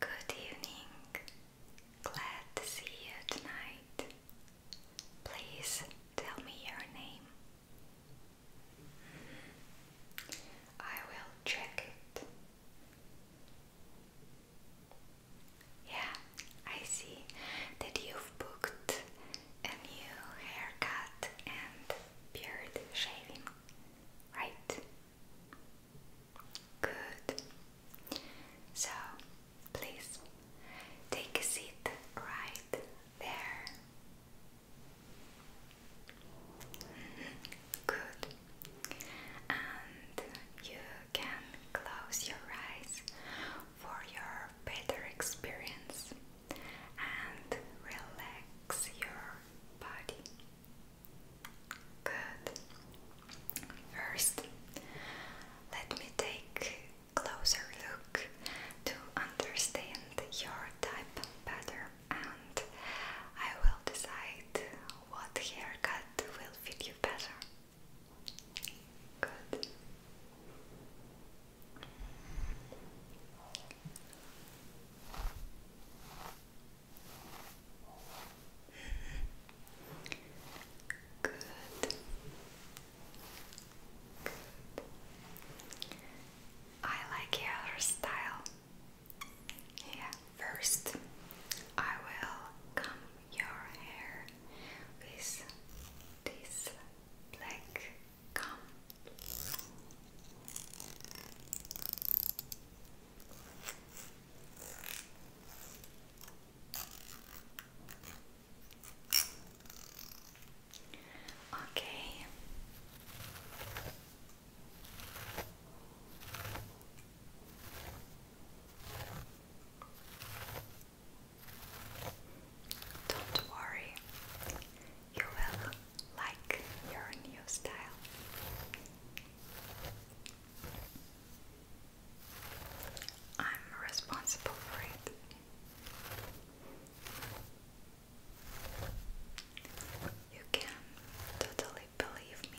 Good evening. Glad to see you tonight. Please tell me your name. I will check it. Yeah, I see that you've booked a new haircut and beard shaving, right? Good. So, please take a seat right there. Good. And you can close your eyes for your better experience and relax your body. Good. First, let me take closer look to understand your type better and I will decide what haircut will fit you better. Good. Good. Good. I like your style. Yeah, first I will comb your hair with this black Come. Okay. Don't worry, you will like your new style. I'm responsible for it. You can totally believe me.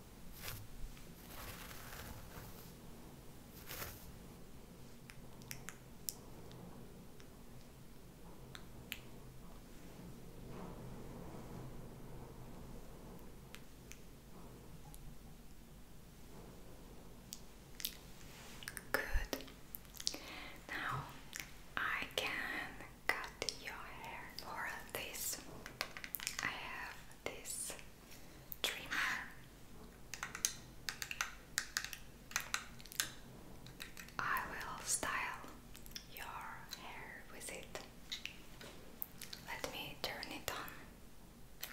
Good. Now I can cut your hair for this. I have this dreamer. I will style your hair with it. Let me turn it on.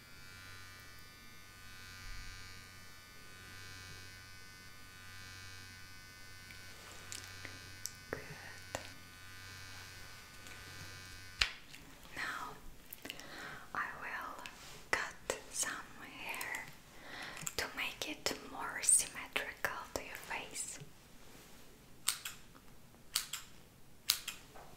Now I will cut some hair to make it more symmetrical to your face.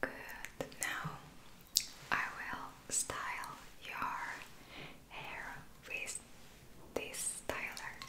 Good. Now I will style your hair with this styler.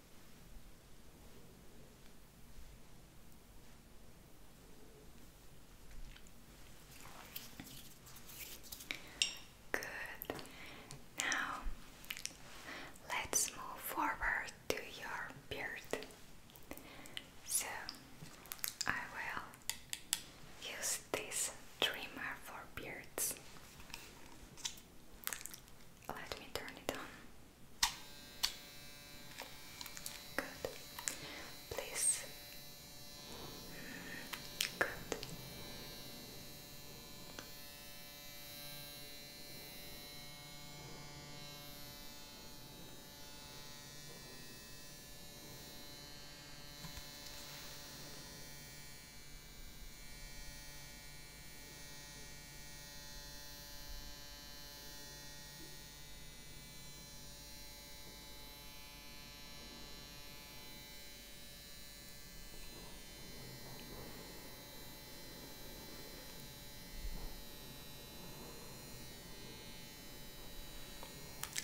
Good. Now let's move forward to your beard. So I will use this trimmer for beards. Let me turn it on. Good. Please. Good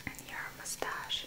and your mustache.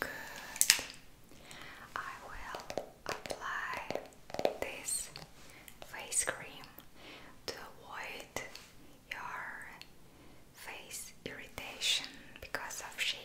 Good. I will apply this face cream to avoid your face irritation because of shaving.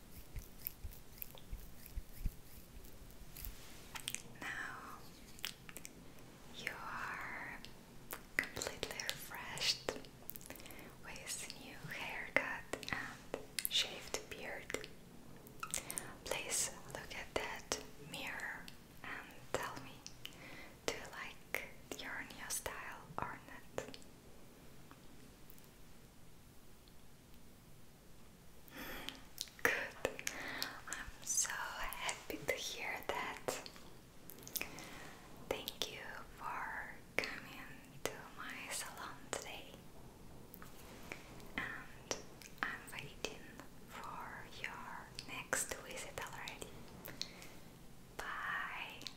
Now you are completely refreshed with new haircut and shaved beard. Please look at that mirror and tell me do you like your new style or not? Good. I'm so happy to hear that. Thank you for coming to my salon today. And I'm waiting for your next visit already. Bye.